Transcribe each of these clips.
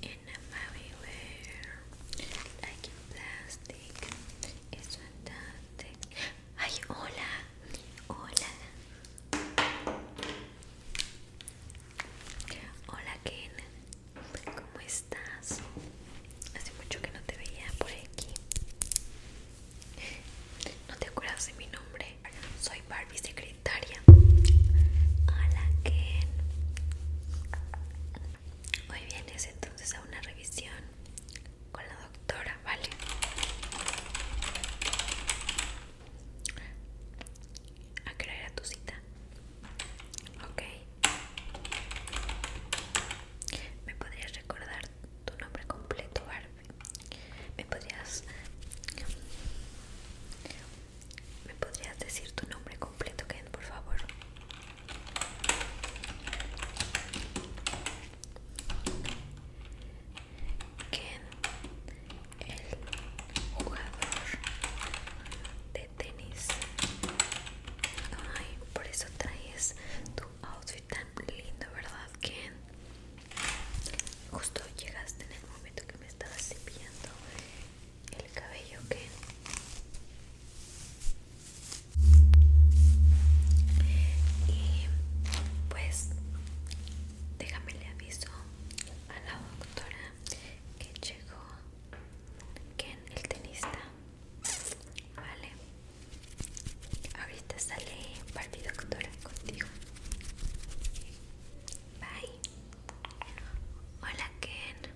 En a mavivare like in plastic es fantastic ay hola hola hola Ken ¿cómo estás? hace mucho que no te veía por aquí ¿no te acuerdas de mi nombre? soy Barbie Secret Victoria. Hola, Ken. Hoy vienes entonces a una revisión con la doctora, ¿vale? ¿A crear a tu cita? Ok. ¿Me podrías recordar tu nombre completo, Barbie? ¿Me podrías, ¿Me podrías decir tu nombre completo, Ken, por favor? Ken, el jugador de tenis. por eso traes tu outfit tan lindo, ¿verdad, Ken? Justo llegaste en el momento que me estabas cepillando el cabello, que y pues déjame le aviso a la doctora que llegó Ken el tenista vale ahorita sale partido doctora contigo Bye. Hola Ken.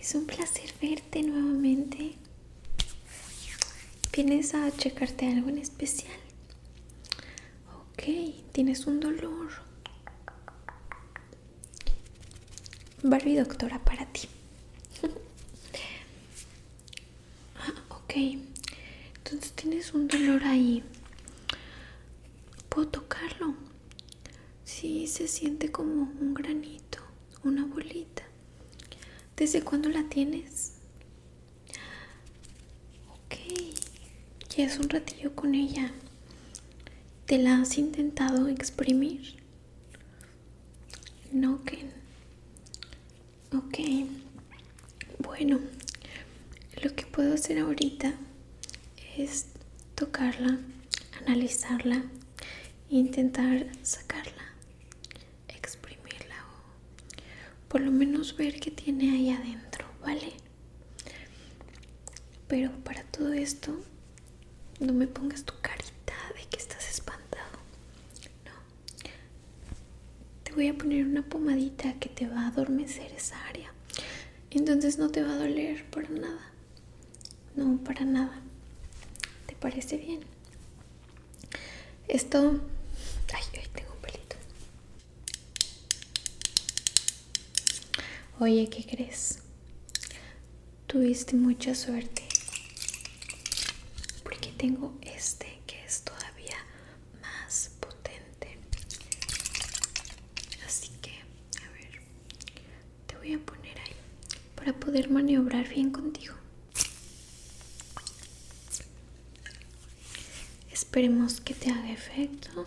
Es un placer verte nuevamente. ¿Vienes a checarte algo en especial? Ok, tienes un dolor. Barbie doctora para ti. Ah, ok. Entonces tienes un dolor ahí. ¿Puedo tocarlo? Sí, se siente como un granito, una bolita. ¿Desde cuándo la tienes? Ok. es un ratillo con ella. ¿Te la has intentado exprimir? No, Ken. Ok, bueno, lo que puedo hacer ahorita es tocarla, analizarla intentar sacarla, exprimirla o por lo menos ver qué tiene ahí adentro, ¿vale? Pero para todo esto, no me pongas tu carita de que estás espantado. No, te voy a poner una pomadita que te va a adormecer esa área. Entonces no te va a doler para nada. No, para nada. ¿Te parece bien? Esto... Ay, ay, tengo un pelito. Oye, ¿qué crees? Tuviste mucha suerte porque tengo este que es todavía más potente así que a ver te voy a poner ahí para poder maniobrar bien contigo esperemos que te haga efecto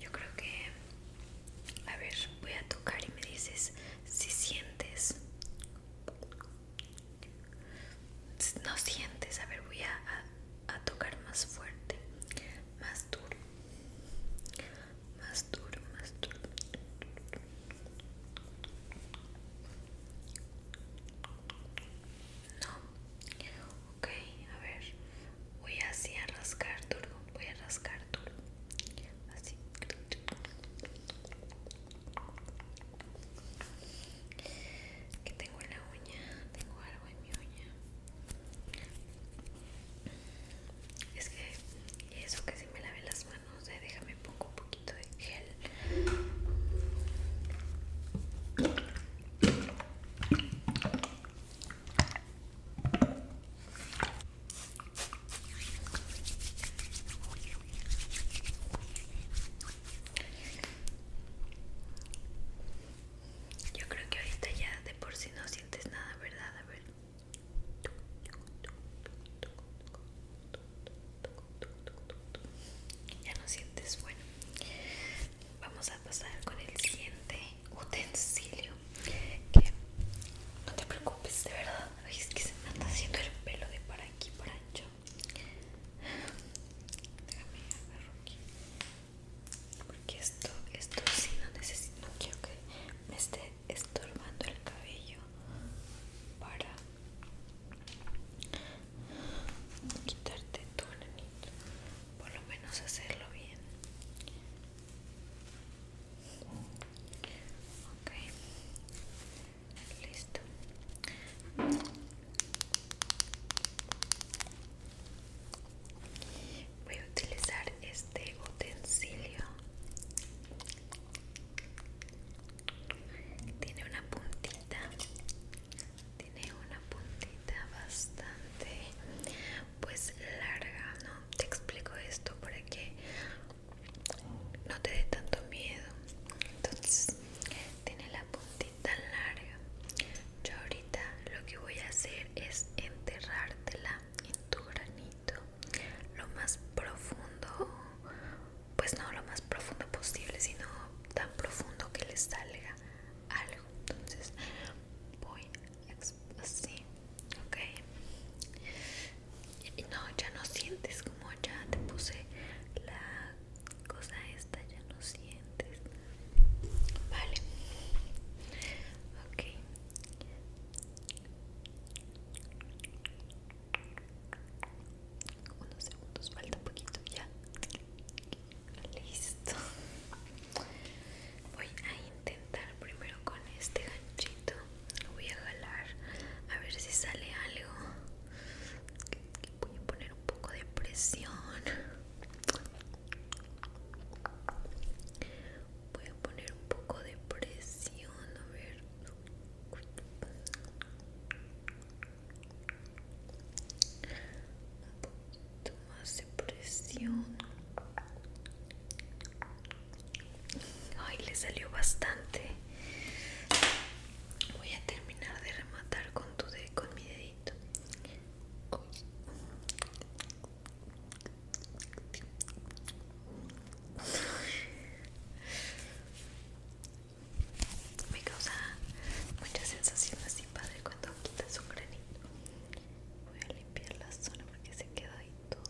yo creo que... A ver, voy a tocar y me dices si sientes... No sientes, a ver, voy a, tocar más fuerte, más duro, más duro, más duro. No, ok a ver voy así a rascar duro voy a rascar duro así que tengo en la uña tengo algo en mi uña es que eso que si me lave las manos eh, déjame pongo un poquito de gel yo creo que ahorita ya de por si no sientes nada, ¿verdad? A ver ya no sientes bueno vamos a pasar con el siguiente utensilio que no te preocupes de verdad es que se me anda haciendo el pelo de para aquí para ancho déjame agarrar aquí porque esto esto sí no necesito no quiero que me esté estorbando el cabello para quitarte tu anito por lo menos hacerlo bien ok listo voy a utilizar este utensilio tiene una puntita tiene una puntita bastante pues larga no te explico esto para que no te dé tanto miedo entonces tiene la puntita larga yo ahorita lo que voy a hacer es enterrártela en tu granito lo más profundo pues no lo más profundo posible, sino tan profundo que les salga algo. Entonces voy así, ok. Y no, ya no sientes como ya te puse la cosa esta, ya no sientes. Vale, ok unos segundos, falta un poquito ya. Listo. Voy a intentar primero con este ganchito. Lo voy a jalar a ver si sale algo. Voy a poner un poco de presión. Voy a poner un poco de presión, a ver un poquito más de presión ay le salió bastante voy a terminar de rematar con tu de con mi dedito me causa muchas sensaciones, así padre cuando quitas un granito voy a limpiar la zona porque se queda ahí todo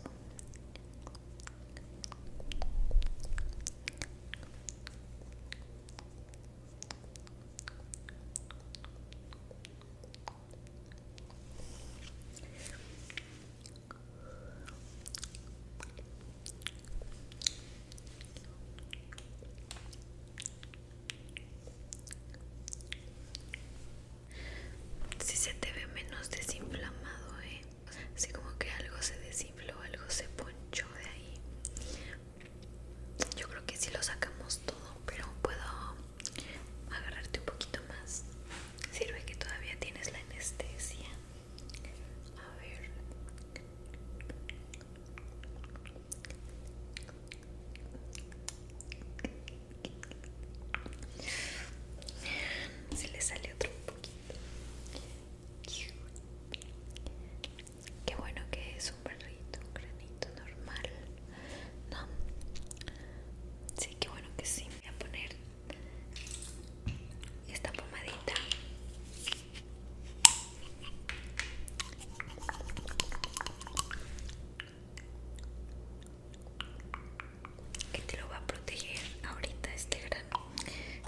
si se te ve menos desinflamado, ¿eh? así como que algo se desinfló, algo se ponchó de ahí. Yo creo que si lo sacamos todo, pero puedo agarrarte un poquito más. Sirve que todavía tienes la anestesia. A ver. Se le sale otro poquito. Qué bueno que es un perrito, un granito normal. No. Sí, qué bueno que sí. Voy a poner esta pomadita que te lo va a proteger ahorita este grano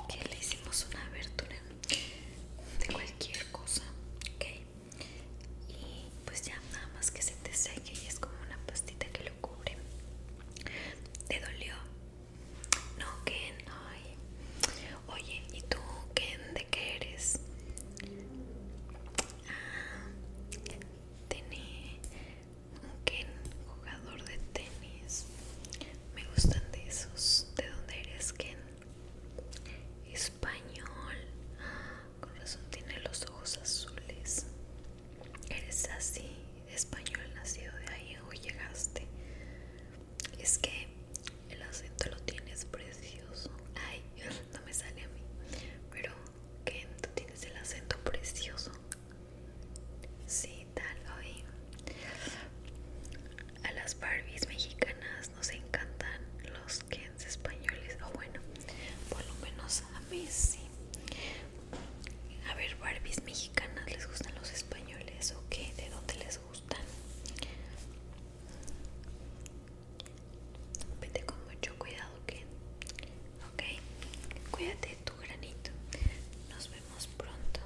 que le hicimos una abertura de cualquier cosa ok y pues ya nada más que se te seque y es como una pastita que lo cubre te dolió no, Ken, ay. Oye, ¿y tú, Ken, de qué eres? Ah, tenis. Un jugador de tenis. Me gustan de esos. ¿De dónde eres, Ken? Español. Ah, Corazón tiene los ojos azules. Eres así, español nacido de ahí o llegaste. Es que el acento lo tienes precioso. Ay, no me sale a mí. Pero, ¿qué? Tú tienes el acento precioso. Sí, tal, hoy. A las Barbies mexicanas nos encantan los Kens españoles. O bueno, por lo menos a mí sí. A ver, Barbies mexicanas, ¿les gustan los españoles o qué? ¿De dónde les gustan? Vete con mucho cuidado, que ok, cuídate tu granito. Nos vemos pronto.